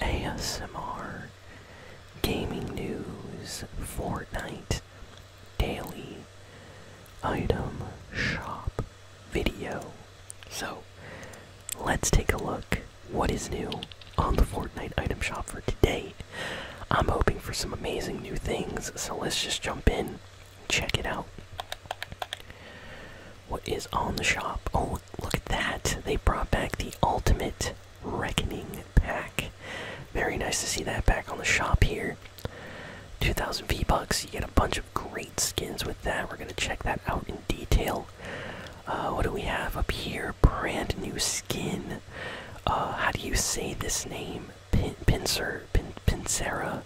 ASMR, gaming news, Fortnite, daily, item, shop, video. So, let's take a look what is new on the Fortnite item shop for today. I'm hoping for some amazing new things, so let's just jump in, check it out. What is on the shop? Oh, look at that! They brought back the Ultimate Reckoning Pack. Very nice to see that back on the shop here. 2000 V bucks. You get a bunch of great skins with that. We're gonna check that out in detail. Uh, what do we have up here? Brand new skin. Uh, how do you say this name? Pincer, Pincera.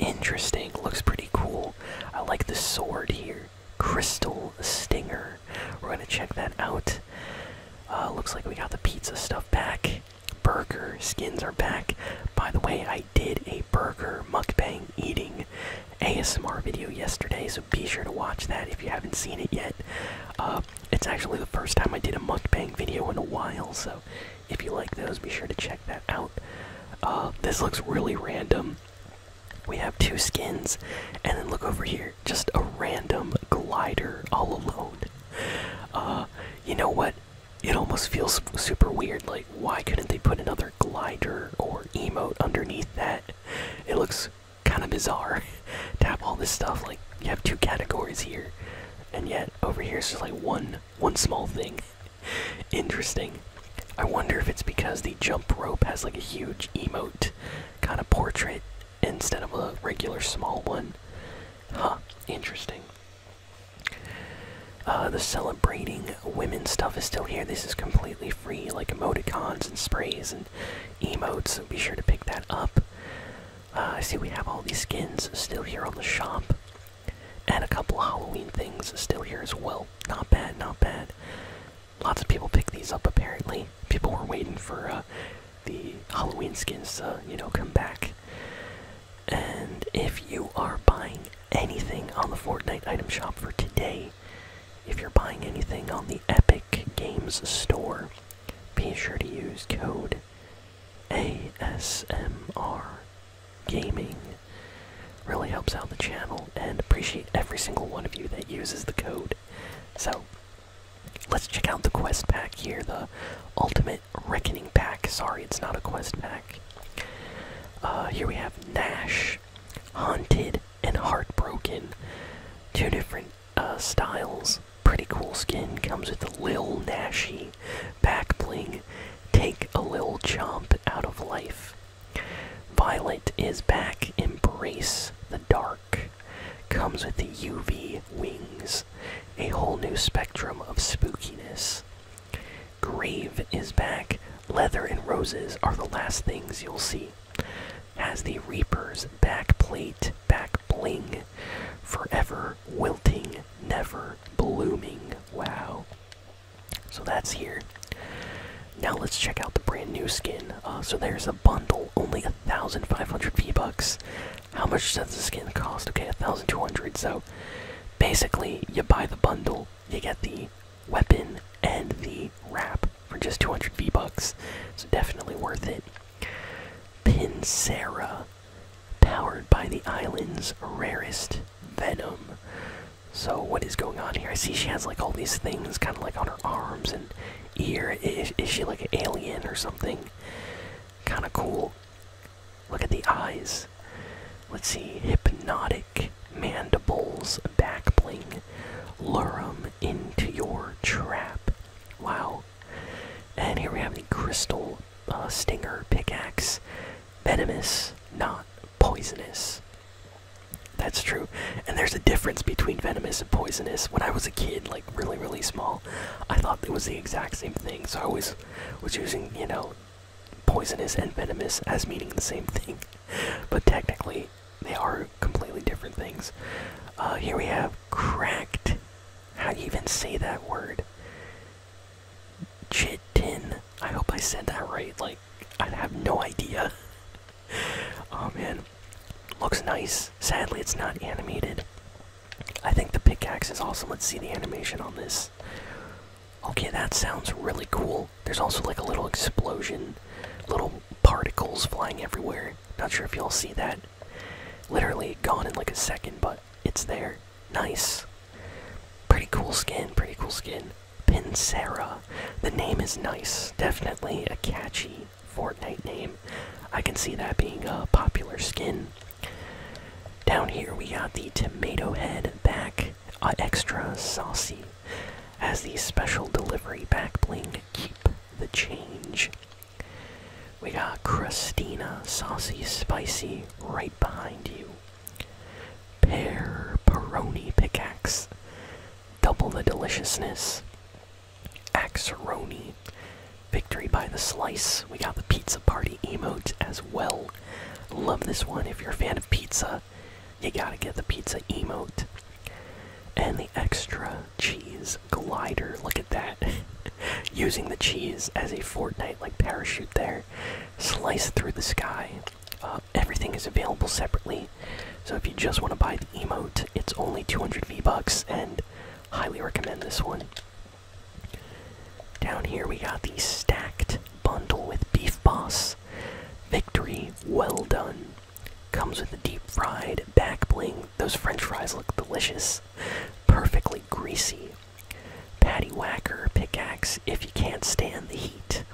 Interesting. Looks pretty cool. I like the sword here. Crystal Stinger. We're gonna check that out. Uh, looks like we got the pizza stuff back. Burger skins are back. By the way, I did a burger mukbang eating ASMR video yesterday, so be sure to watch that if you haven't seen it yet. Uh, it's actually the first time I did a mukbang video in a while, so if you like those, be sure to check that out. Uh, this looks really random we have two skins, and then look over here, just a random glider all alone. Uh, you know what? It almost feels super weird. Like, why couldn't they put another glider or emote underneath that? It looks kind of bizarre to have all this stuff. Like, you have two categories here, and yet over here is just like one one small thing. Interesting. I wonder if it's because the jump rope has like a huge emote kind of portrait instead of a regular small one. Huh, interesting. Uh, the celebrating women stuff is still here. This is completely free, like emoticons and sprays and emotes, so be sure to pick that up. Uh, I see we have all these skins still here on the shop and a couple Halloween things still here as well. Not bad, not bad. Lots of people picked these up apparently. People were waiting for uh, the Halloween skins to, you know, come back. And if you are buying anything on the Fortnite item shop for today, if you're buying anything on the Epic Games Store, be sure to use code ASMR gaming really helps out the channel and appreciate every single one of you that uses the code so let's check out the quest pack here the ultimate reckoning pack sorry it's not a quest pack uh, here we have nash haunted and heartbroken two different uh, styles pretty cool skin comes with a lil nashy back bling take a lil jump out of life Violet is back. Embrace the dark. Comes with the UV wings. A whole new spectrum of spookiness. Grave is back. Leather and roses are the last things you'll see. Has the Reaper's backplate, back bling. Forever wilting, never blooming. Wow. So that's here. Now let's check out the brand new skin. Uh, so there's a bundle, only 1,500 V-Bucks. How much does the skin cost? Okay, 1,200. So basically, you buy the bundle, you get the weapon and the wrap for just 200 V-Bucks. So definitely worth it. Pincera, powered by the island's rarest venom. So what is going on here? I see she has like all these things, kind of like on her arms and ear. Is, she like an alien or something? Kind of cool. Look at the eyes. Let's see. Hypnotic mandibles back bling. lure them into your trap. Wow. And here we have the crystal a uh, Stinger, Pickaxe, Venomous, not Poisonous. That's true. And there's a difference between venomous and poisonous. When I was a kid, like really, really small, I thought it was the exact same thing. So I always was using, you know, poisonous and venomous as meaning the same thing. But technically, they are completely different things. Uh, here we have cracked. How do you even say that word? Chitin. I hope I said that right. Like, I have no idea. oh man. Looks nice. Sadly, it's not animated. I think the pickaxe is awesome. Let's see the animation on this. Okay, that sounds really cool. There's also like a little explosion, little particles flying everywhere. Not sure if you all see that. Literally gone in like a second, but it's there. Nice. Pretty cool skin, pretty cool skin. Pincera. The name is nice. Definitely a catchy Fortnite name. I can see that being a popular skin. Down here we got the tomato head back, extra saucy. As the special delivery back bling, keep the change. We got Christina, saucy, spicy, right behind you. Pear Peroni Pickaxe. Double the deliciousness. Axeroni. Victory by the slice. We got the pizza party emote as well. Love this one. If you're a fan of pizza, you gotta get the pizza emote. And the extra cheese glider. Look at that. Using the cheese as a Fortnite like parachute there slice through the sky. Uh, everything is available separately, so if you just want to buy the emote, it's only 200 V bucks, and highly recommend this one. Down here we got the stacked bundle with Beef Boss. Victory, well done. Comes with the deep fried back bling. Those French fries look delicious, perfectly greasy, Patty Whacker pickaxe if you can't stand the heat.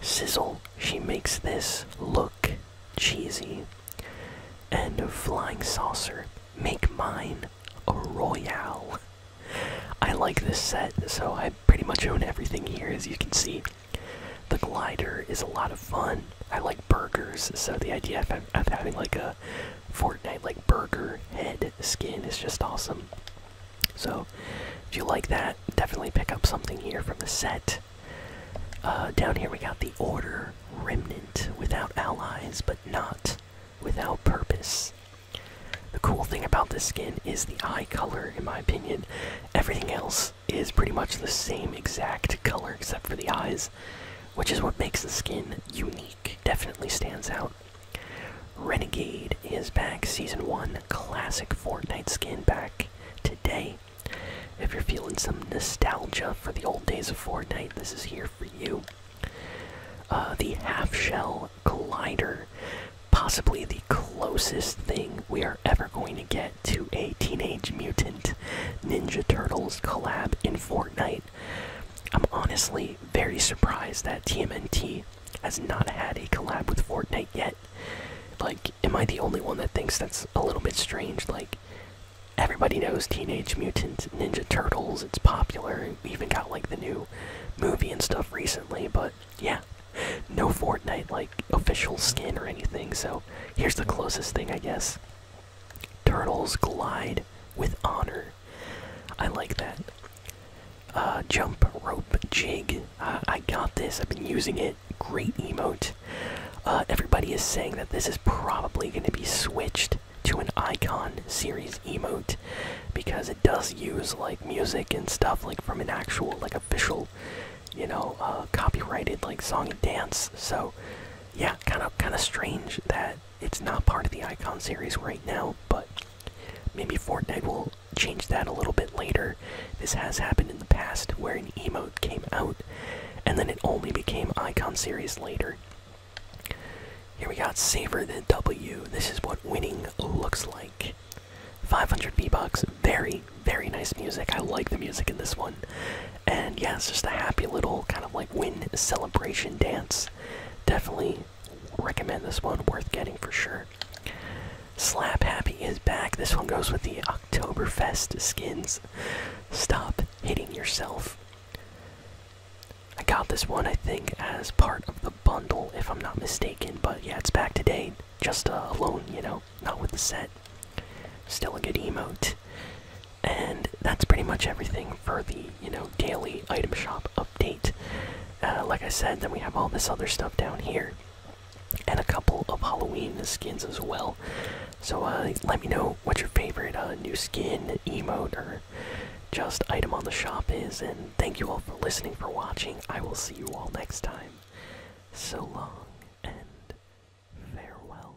Sizzle, she makes this look cheesy. And a Flying Saucer, make mine a Royale. I like this set, so I pretty much own everything here, as you can see. The glider is a lot of fun. I like burgers, so the idea of having like a Fortnite like burger head red skin is just awesome. So, if you like that, definitely pick up something here from the set. Uh, down here we got the Order Remnant without allies, but not without purpose. The cool thing about this skin is the eye color, in my opinion. Everything else is pretty much the same exact color except for the eyes, which is what makes the skin unique. Definitely stands out. Renegade is back, Season 1 Classic Fortnite skin back today. If you're feeling some nostalgia for the old days of Fortnite, this is here for you. Uh, the Half Shell Glider, possibly the closest thing we are ever going to get to a Teenage Mutant Ninja Turtles collab in Fortnite. I'm honestly very surprised that TMNT has not had a collab with Fortnite yet. Like, am I the only one that thinks that's a little bit strange? Like, everybody knows Teenage Mutant Ninja Turtles, it's popular, we even got like the new movie and stuff recently, but yeah, no Fortnite like official skin or anything, so here's the closest thing, I guess. Turtles glide with honor. I like that. Uh, jump rope jig. Uh, I got this. I've been using it. Great emote. Uh, everybody is saying that this is probably going to be switched to an icon series emote because it does use like music and stuff like from an actual like official you know copyrighted like song and dance so yeah kind of kind of strange that it's not part of the icon series right now, but maybe Fortnite will change that a little bit later. This has happened in the past where an emote came out and then it only became icon series later. Here we got Savor the W. This is what winning looks like. 500 V-Bucks. Very, very nice music. I like the music in this one. And yeah, it's just a happy little kind of like win celebration dance definitely recommend this one, worth getting for sure. Slap Happy is back. This one goes with the Oktoberfest skins. Stop hitting yourself. I got this one, I think, as part of the bundle, if I'm not mistaken. But yeah, it's back today, just uh, alone, you know, not with the set. Still a good emote and that's pretty much everything for the you know daily item shop update. Uh, like I said, then we have all this other stuff down here, and a couple of Halloween skins as well. So uh, let me know what your favorite uh, new skin, emote, or just item on the shop is. And thank you all for listening, for watching. I will see you all next time. So long and farewell.